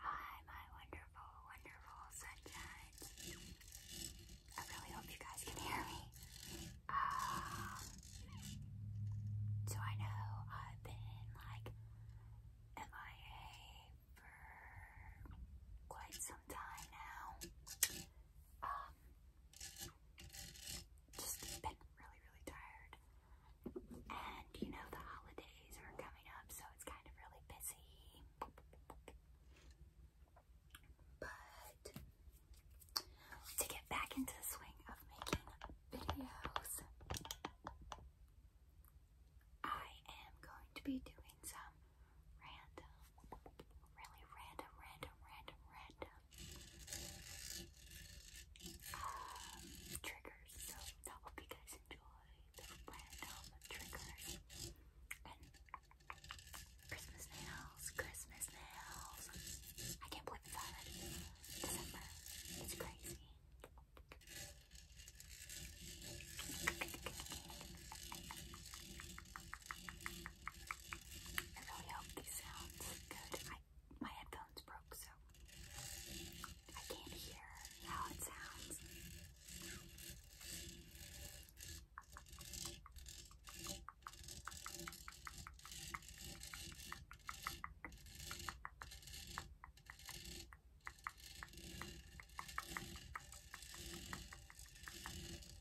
Hi, my wonderful, wonderful sunshine. I really hope you guys can hear me. Um, so I know I've been like MIA for quite some time now. Um, just been really, really tired. And you know, the holidays are coming up, so it's kind of really busy. But to get back into the swing of making videos, I am going to be doing some random really red, red, red, red um, triggers. So I hope you guys enjoy the random triggers and Christmas nails, Christmas nails. I can't believe it's already December. It's crazy. I really hope these sounds good. my headphones broke, so I can't hear how it sounds.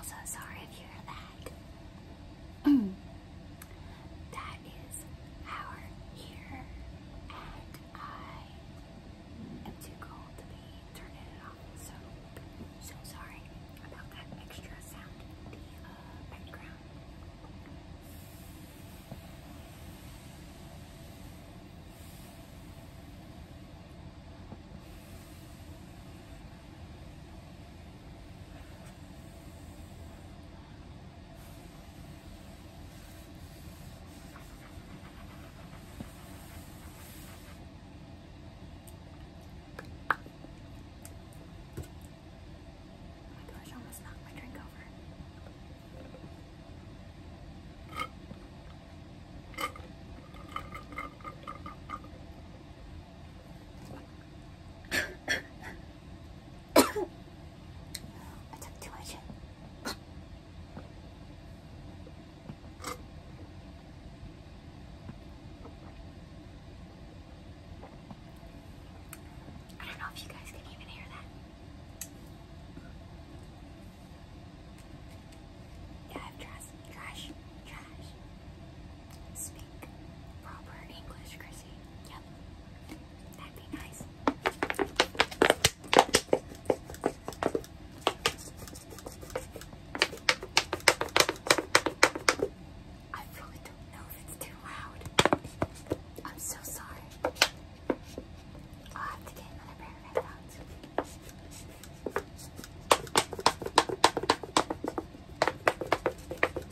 Also, sorry if you hear that. that is our here and I am too cold to be turning it off, so so sorry about that extra sound in the uh, background. Oh my gosh, I almost knocked my drink over. I took too much. I don't know if you guys can even hear that. Yeah, trash, trash, trash. Speak proper English, Chris. Yep. That'd be nice. I really don't know if it's too loud. I'm so sorry. I'll have to get another pair of headphones.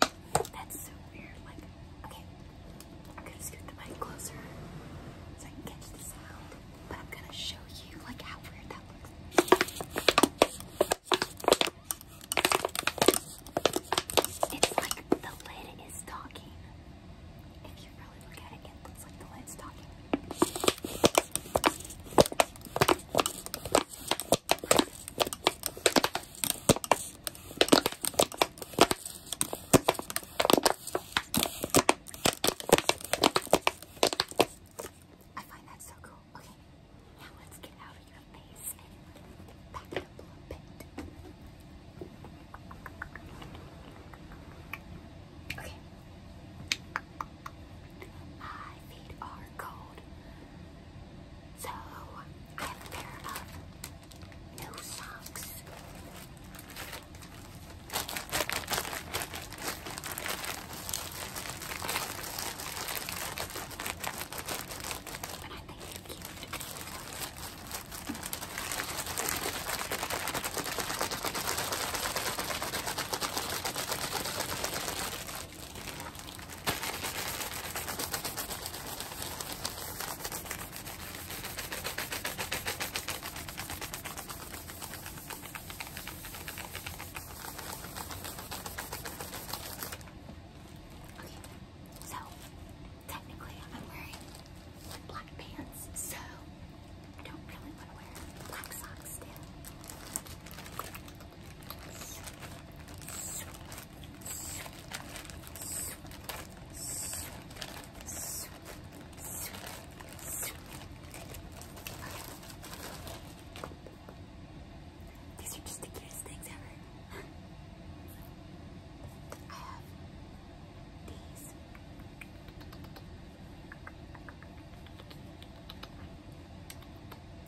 That's so weird. Like, okay, I'm gonna scoot the mic closer so I can catch the sound, but I'm gonna show you like how weird that looks. It's like the lid is talking. If you really look at it, it looks like the lid's talking. I find that so cool. Okay, now let's get out of your face and back it up a little bit. Okay. My feet are cold. So I have a pair of new socks. And I think they're cute. Okay, so technically I'm wearing black pants, so I don't really want to wear black socks still. These are just the cutest things ever. I have these.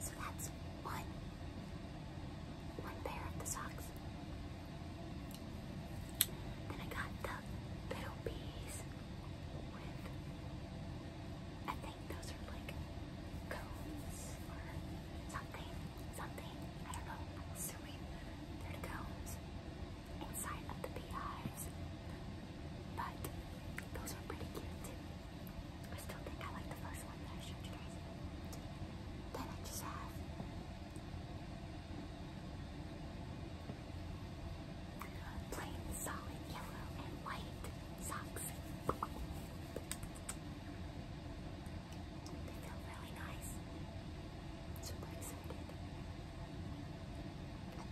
So that's one, one pair of the socks. Then I got the little with, I think those are like cones or something, something, I don't know, I'm assuming they're cones inside of the beehives. But those are pretty cute too. I still think I like the first one that I showed you guys. Then I just have plain solid yellow and white socks. They feel really nice. Super excited.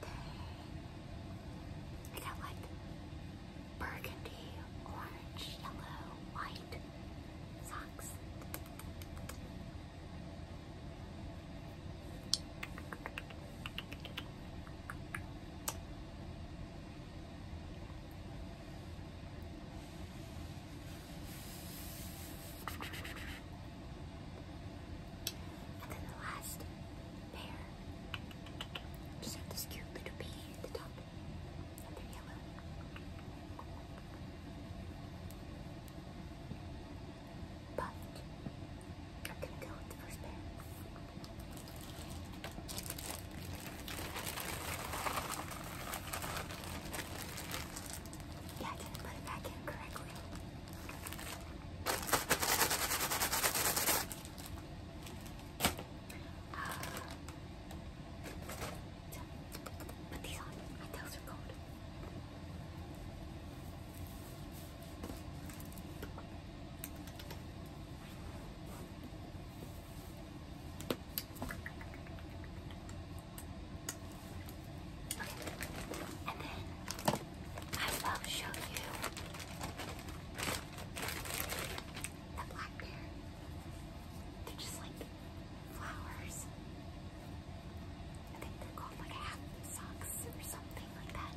then I got like burgundy, orange, yellow, white socks. And then the last pair just have this cute little bee at the top. And they yellow. But I'm gonna go with the first pair. Yeah, I didn't put it back in correctly put these on. My tails are cold. Okay. And then I will show you the black bear. They're just like flowers. I think they're called like half socks or something like that.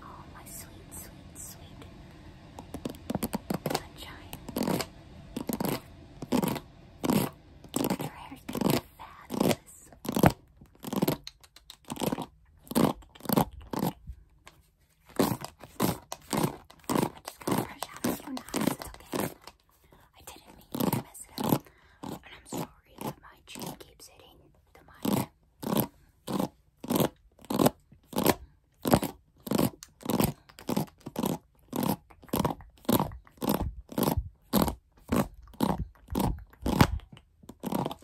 Oh, my sweet, sweet, sweet sunshine. Your hair's gonna be fabulous just gonna brush out a few knots, okay? I didn't mean to mess it up. And I'm sorry that my chin keeps hitting the mic.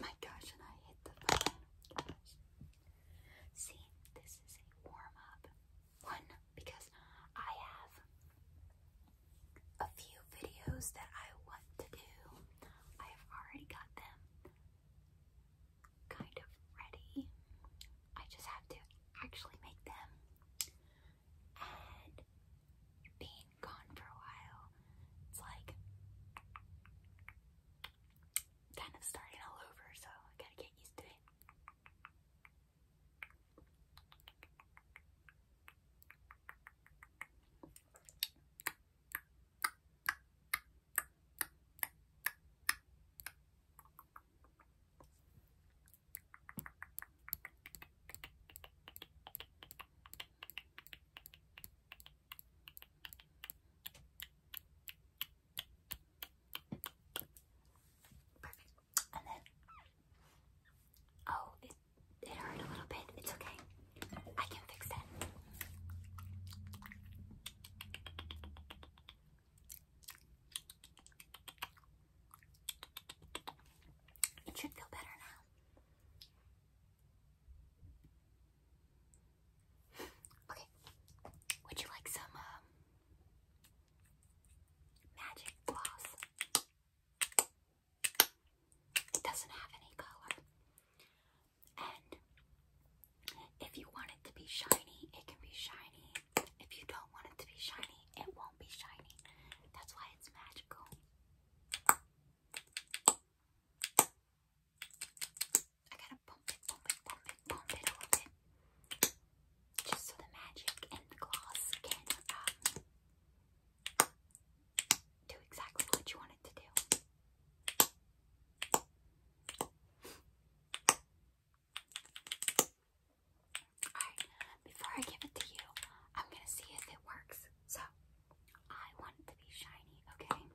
My gosh, and I hit the phone. See, this is a warm up one because I have a few videos that I want to do. I have already got them kind of ready. I just have to actually make them. And being gone for a while, it's like kind of starting all over, so I gotta get used to it. And then, oh, it, it hurt a little bit. It's okay. I can fix that. It should feel better now. Okay. Would you like some um, magic gloss? It doesn't have any color. And if you want it to be shiny, it can be shiny. If you don't want it to be shiny, it won't be shiny. That's why it's magical. I gotta pump it, pump it, pump it, pump it a little bit. Just so the magic and the gloss can um, do exactly what you want it to do. Alright, before I give it to you, I'm gonna see if it works. So, I want it to be shiny, okay?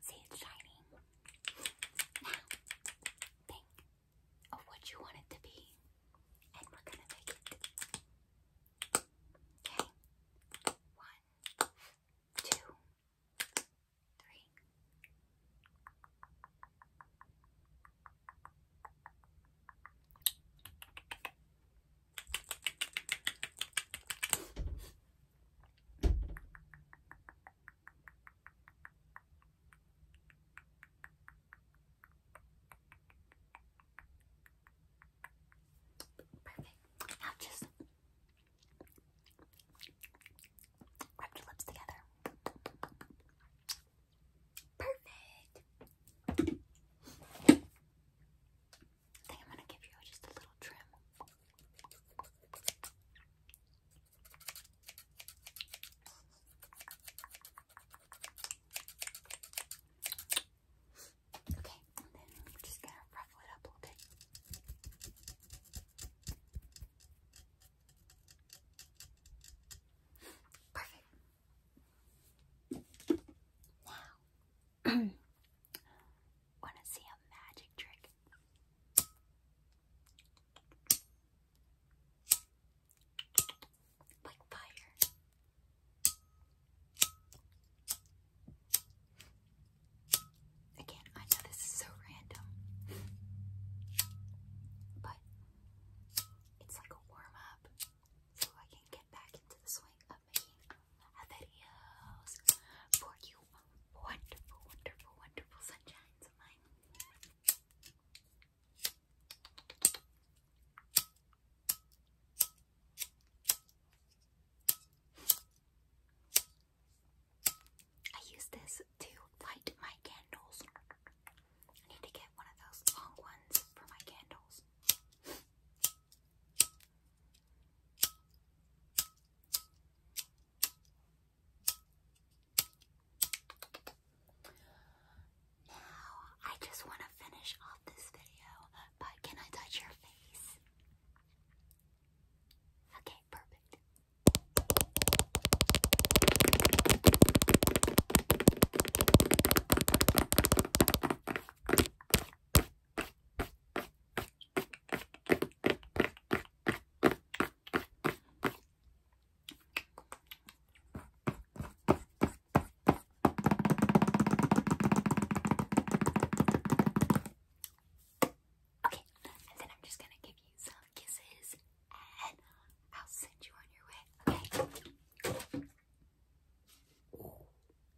See, it's shining. think of what you want it to be, and we're gonna make it. Okay? One, two, three. Perfect. Now just rub your lips together. Perfect. I think I'm gonna give you just a little trim. Okay, and then I'm just gonna ruffle it up a little bit. Perfect. Now, want to see a magic trick? Like fire. Again, I know this is so random, but it's like a warm up so I can get back into the swing of making videos for you wonderful, wonderful, wonderful sunshines of mine. I use this to light my candles. I need to get one of those long ones for my candles. Now, I just want to finish off this video, but can I touch your face? Okay, perfect. Okay, and then I'm just gonna give you some kisses and I'll send you on your way. Okay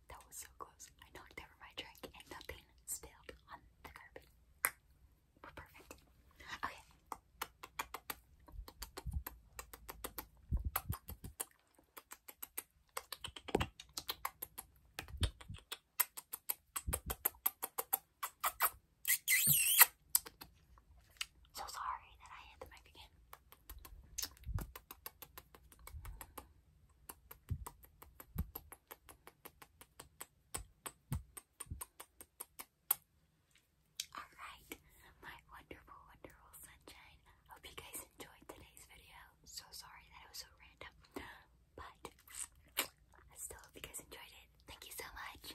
that was so close. I knocked over my drink and nothing spilled on the carpet. We're perfect. Okay. So sorry that I hit the mic again. Alright, my wonderful, wonderful sunshine. Hope you guys enjoyed today's video. So sorry that it was so random, but I still hope you guys enjoyed it. Thank you so much.